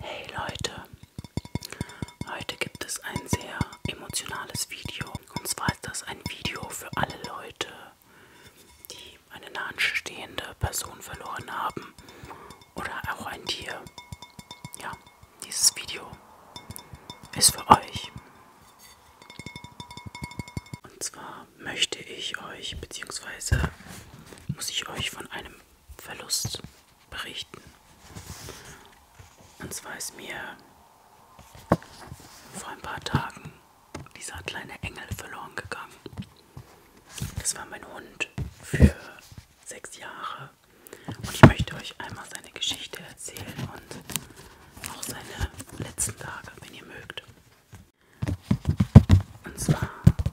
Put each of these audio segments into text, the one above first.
Hey Leute, heute gibt es ein sehr emotionales Video. Und zwar ist das ein Video für alle Leute, die eine nahestehende Person verloren haben oder auch ein Tier. Ja, dieses Video ist für euch. Und zwar möchte ich euch, beziehungsweise muss ich euch von einem Verlust berichten. Und zwar ist mir vor ein paar Tagen dieser kleine Engel verloren gegangen. Das war mein Hund für sechs Jahre. Und ich möchte euch einmal seine Geschichte erzählen und auch seine letzten Tage, wenn ihr mögt. Und zwar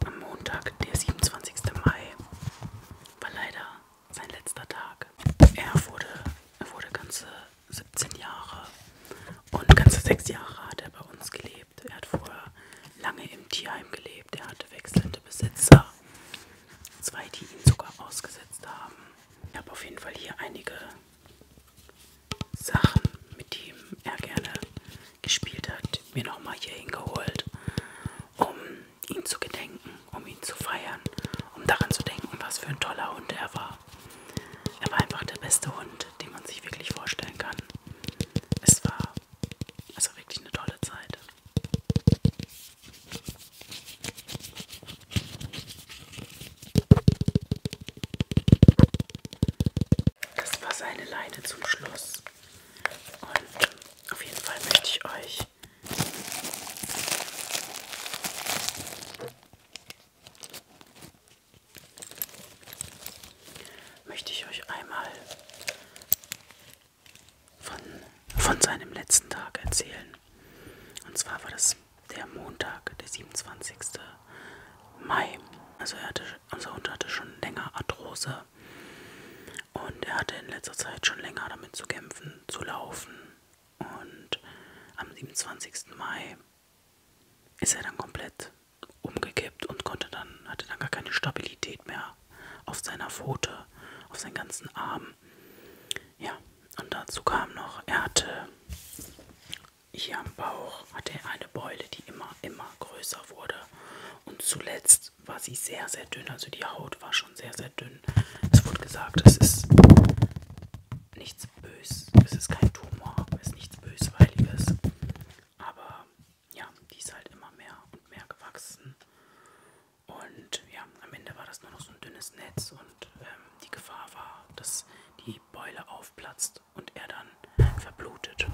am Montag, der 27. Mai, war leider sein letzter Tag. Er wurde, er wurde ganze 17 Jahre und ganze 6 Jahre hat er bei uns gelebt. Er hat vorher lange im Tierheim gelebt. Er hatte wechselnde Besitzer. Zwei, die ihn sogar ausgesetzt haben. Ich habe auf jeden Fall hier einige Sachen, mit denen er gerne gespielt hat, mir nochmal hier hingeholt, um ihn zu gedenken, um ihn zu feiern, um daran zu denken, was für ein toller Hund er war. Er war einfach der beste Hund, den man sich wirklich vorstellen kann. Es war also wirklich eine tolle Zeit. Das war seine Leine zum Schluss. Und ähm, auf jeden Fall möchte ich euch möchte ich euch einmal von, von seinem letzten Tag erzählen. Und zwar war das der Montag, der 27. Mai. Also er hatte, unser Hund hatte schon länger Arthrose und er hatte in letzter Zeit schon länger damit zu kämpfen, zu laufen. Und am 27. Mai ist er dann komplett umgekippt und konnte dann, hatte dann gar keine Stabilität mehr auf seiner Pfote, auf seinen ganzen Arm. Ja, und dazu kam noch, er hatte hier am Bauch hatte er eine Beule, die immer, immer größer wurde. Und zuletzt war sie sehr, sehr dünn. Also die Haut war schon sehr, sehr dünn. Es wurde gesagt, es ist nichts Böses. Es ist kein Tumor, es ist nichts Bösweiliges. Aber ja, die ist halt immer mehr und mehr gewachsen. Und ja, am Ende war das nur noch so ein dünnes Netz. Und ähm, die Gefahr war, dass die Beule aufplatzt und er dann verblutet.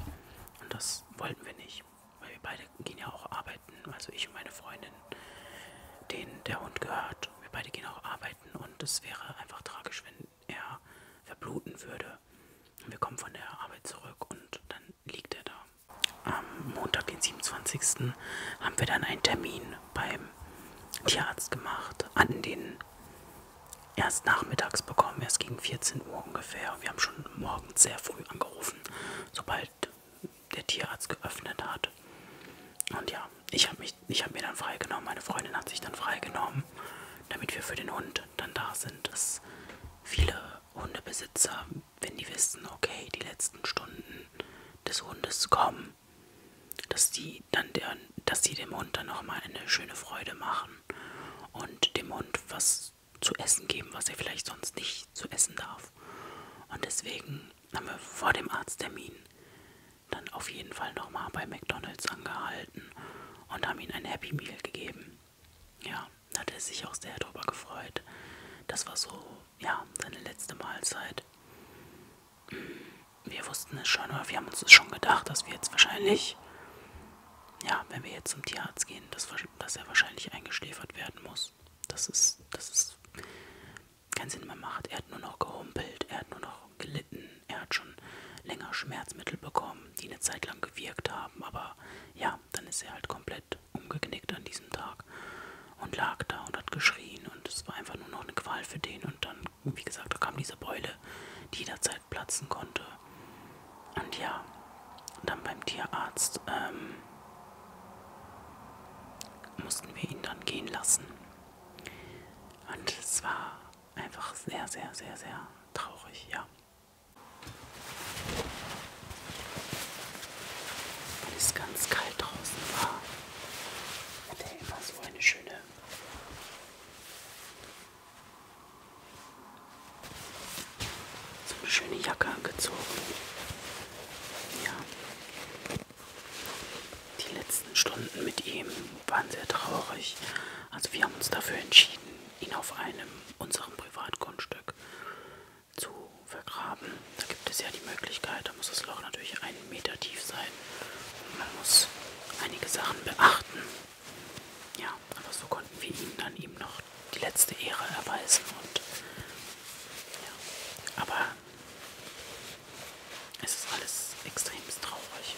Und das wollten wir nicht, weil wir beide gehen ja auch arbeiten. Also ich und meine Freundin, denen der Hund gehört. Wir beide gehen auch arbeiten und es wäre einfach tragisch, wenn er verbluten würde. Wir kommen von der Arbeit zurück und dann liegt er da. Am Montag, den 27. haben wir dann einen Termin beim Tierarzt gemacht, an den erst nachmittags bekommen, erst gegen 14 Uhr ungefähr. Wir haben schon morgens sehr früh angerufen, sobald der Tierarzt geöffnet hat. Und ja, ich habe hab mir dann freigenommen, meine Freundin hat sich dann freigenommen, damit wir für den Hund dann da sind. Dass viele Hundebesitzer, wenn die wissen, okay, die letzten Stunden des Hundes kommen, dass die dann der, dass sie dem Hund dann nochmal eine schöne Freude machen und dem Hund was zu essen geben, was er vielleicht sonst nicht zu essen darf. Und deswegen haben wir vor dem Arzttermin dann auf jeden Fall nochmal bei McDonalds angehalten und haben ihm ein Happy Meal gegeben. Ja, da hat er sich auch sehr drüber gefreut. Das war so, ja, seine letzte Mahlzeit wir wussten es schon, oder wir haben uns es schon gedacht, dass wir jetzt wahrscheinlich, ja, wenn wir jetzt zum Tierarzt gehen, dass, dass er wahrscheinlich eingeschläfert werden muss. Das ist, das ist keinen Sinn mehr macht. Er hat nur noch gehumpelt, er hat nur noch gelitten, er hat schon länger Schmerzmittel bekommen, die eine Zeit lang gewirkt haben, aber ja, dann ist er halt komplett umgeknickt an diesem Tag und lag da und hat geschrien und es war einfach nur noch eine Qual für den. Und dann, wie gesagt, da kam diese Beule, die jederzeit platzen konnte. Und ja, dann beim Tierarzt ähm, mussten wir ihn dann gehen lassen. Und es war einfach sehr, sehr, sehr, sehr traurig, ja. Weil es ganz kalt draußen war. Hat er immer so eine schöne so eine schöne Jacke angezogen. Ja. Die letzten Stunden mit ihm waren sehr traurig. Also wir haben uns dafür entschieden, ihn auf einem unserem Privatgrundstück zu vergraben. Da gibt es ja die Möglichkeit, da muss das Loch natürlich einen Meter tief sein. Und man muss einige Sachen beachten. Ja, aber so konnten wir ihnen dann eben noch die letzte Ehre erweisen. Und ja, aber es ist alles extrem traurig.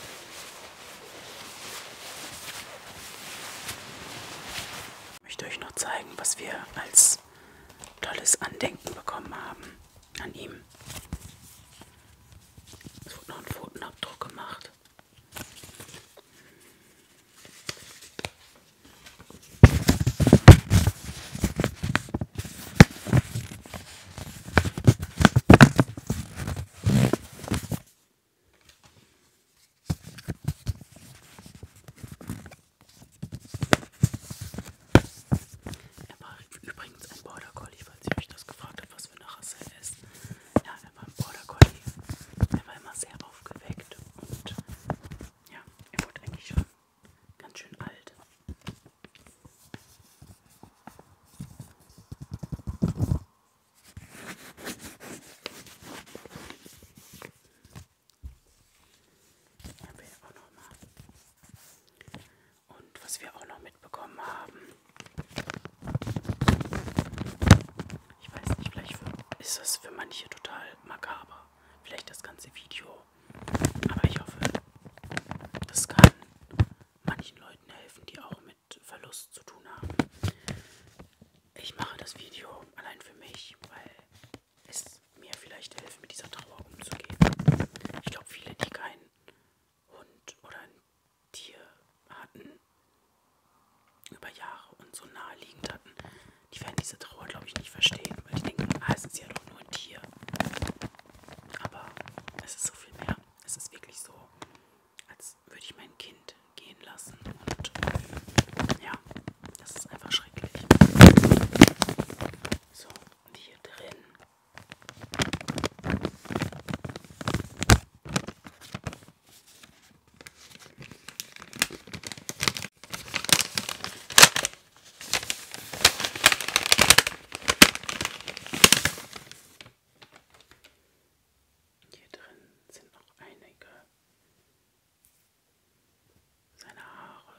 Ich möchte euch noch zeigen, was wir als tolles Andenken bekommen haben an ihm. Es wurde noch ein Pfotenabdruck gemacht. Er war übrigens ein Border Collie, falls ihr euch das gefragt habt, was für eine Rasse er ist. Ja, er war ein Border Collie. Er war immer sehr aufgeweckt und ja, er wurde eigentlich schon ganz schön alt. Nehmen wir auch noch mal. Und was wir auch noch mitbekommen haben. Ich weiß nicht, vielleicht ist das für manche total makaber. Vielleicht das ganze Video. Aber ich hoffe, das kann manchen Leuten helfen, die auch mit Verlust zu tun haben. Ich mache das Video allein für mich, weil es mir vielleicht hilft, mit dieser Trauer umzugehen. Ich glaube, viele, die keinen Hund oder ein Tier hatten, über Jahre und so naheliegend hatten, die werden diese Trauer, glaube ich, nicht verstehen, weil die denken, ah, es ist ja doch nur ein Tier. Aber es ist so viel mehr. Es ist wirklich so, als würde ich mein Kind gehen lassen und ja. Das ist einfach schrecklich. So, und hier drin. Hier drin sind noch einige seine Haare,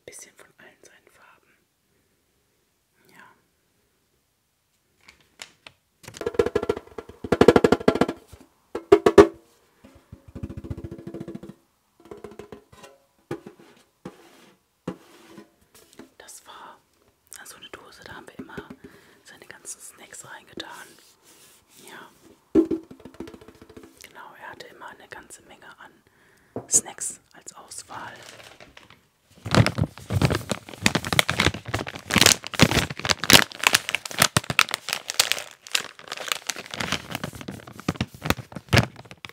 ein bisschen von allen seinen Farben. Ja. Das war also eine Dose, da haben wir immer seine ganzen Snacks reingetan. Ja. Genau, er hatte immer eine ganze Menge an Snacks als Auswahl.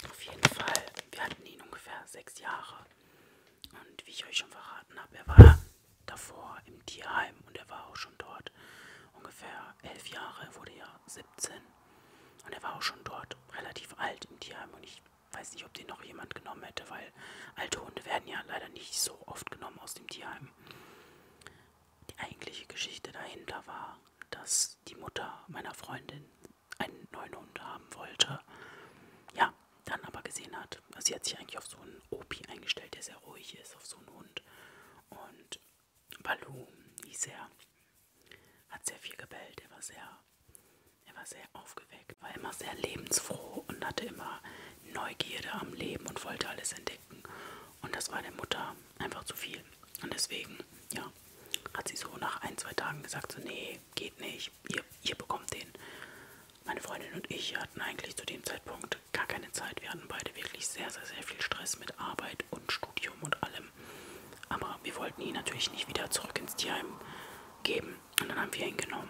Auf jeden Fall, wir hatten ihn ungefähr sechs Jahre. Und wie ich euch schon verraten habe, er war davor im Tierheim und er war auch schon dort ungefähr elf Jahre, wurde ja 17 und er war auch schon dort relativ alt im Tierheim und ich weiß nicht, ob den noch jemand genommen hätte, weil alte Hunde werden ja leider nicht so oft genommen aus dem Tierheim. Die eigentliche Geschichte dahinter war, dass die Mutter meiner Freundin einen neuen Hund haben wollte. Ja, dann aber gesehen hat, also sie hat sich eigentlich auf so einen Opi eingestellt, der sehr ruhig ist, auf so einen Hund. Und Baloo hieß er, hat sehr viel gebellt, er war sehr, er war sehr aufgeweckt, war immer sehr lebensfroh und hatte immer Neugierde am Leben und wollte alles entdecken. Und das war der Mutter einfach zu viel. Und deswegen, ja, hat sie so nach ein, zwei Tagen gesagt, so nee, geht nicht ihr, ihr bekommt den. Meine Freundin und ich hatten eigentlich zu dem Zeitpunkt gar keine Zeit. Wir hatten beide wirklich sehr, sehr, sehr viel Stress mit Arbeit und Studium und allem. Aber wir wollten ihn natürlich nicht wieder zurück ins Tierheim geben. Und dann haben wir ihn genommen.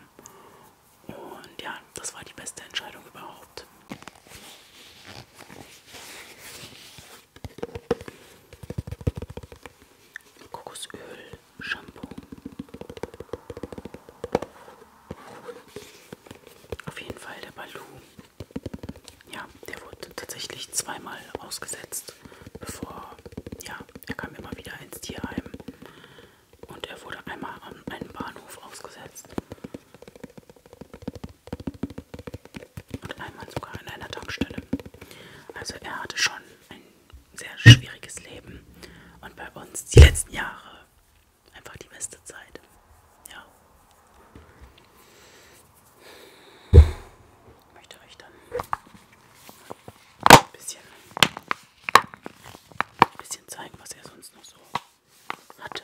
Und ja, das war die beste Entscheidung überhaupt. Kokosöl Shampoo. Auf jeden Fall der Balu. Ja, der wurde tatsächlich zweimal ausgesetzt, bevor, ja, er kam immer wieder ins Tierheim. Und er wurde einmal an einem Bahnhof ausgesetzt. Und einmal sogar an einer Tankstelle. Also er hatte schon ein sehr schwieriges Leben und bei uns die letzten Jahre einfach die beste Zeit. Ja. Ich möchte euch dann ein bisschen, ein bisschen zeigen, was er sonst noch so hatte.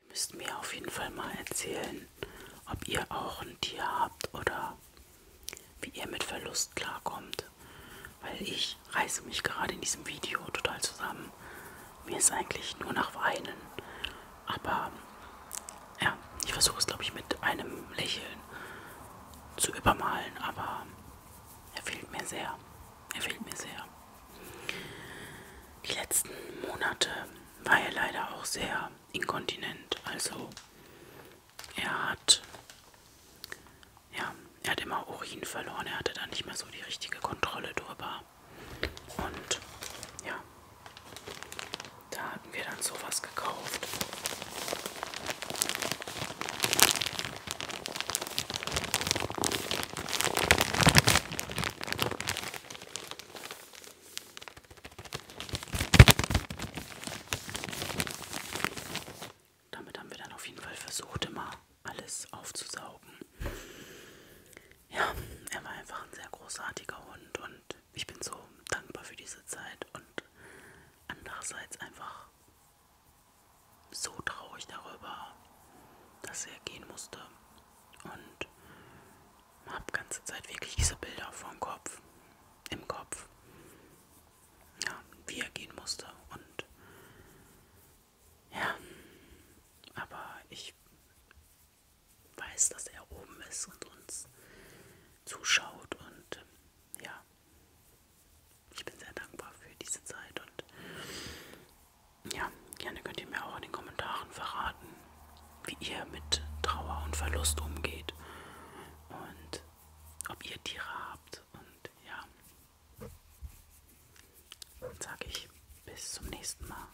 Ihr müsst mir auf jeden Fall mal erzählen, ob ihr auch ein Tier habt oder wie ihr mit Verlust klarkommt. Weil ich reiße mich gerade in diesem Video total zusammen. Mir ist eigentlich nur nach Weinen. Aber ja, ich versuche es, glaube ich, mit einem Lächeln zu übermalen, aber er fehlt mir sehr. Er fehlt mir sehr. Die letzten Monate war er leider auch sehr inkontinent. Also er hat, ja, er hat immer Urin verloren. Er hatte da nicht mehr so die richtige Kontrolle drüber. Und ja, da hatten wir dann sowas gekauft. Damit haben wir dann auf jeden Fall versucht, immer alles aufzusaugen. Ja, er war einfach ein sehr großartiger Hund und ich bin so dankbar für diese Zeit und andererseits einfach so traurig darüber, dass er gehen musste und habe ganze Zeit wirklich diese Bilder vom Kopf, im Kopf, ja, wie er gehen musste und ja, aber ich weiß, dass er oben ist und uns zuschaut. Und ähm, ja, ich bin sehr dankbar für diese Zeit. Und ja, gerne könnt ihr mir auch in den Kommentaren verraten, wie ihr mit Trauer und Verlust umgeht. Und ob ihr Tiere habt. Und ja, dann sage ich bis zum nächsten Mal.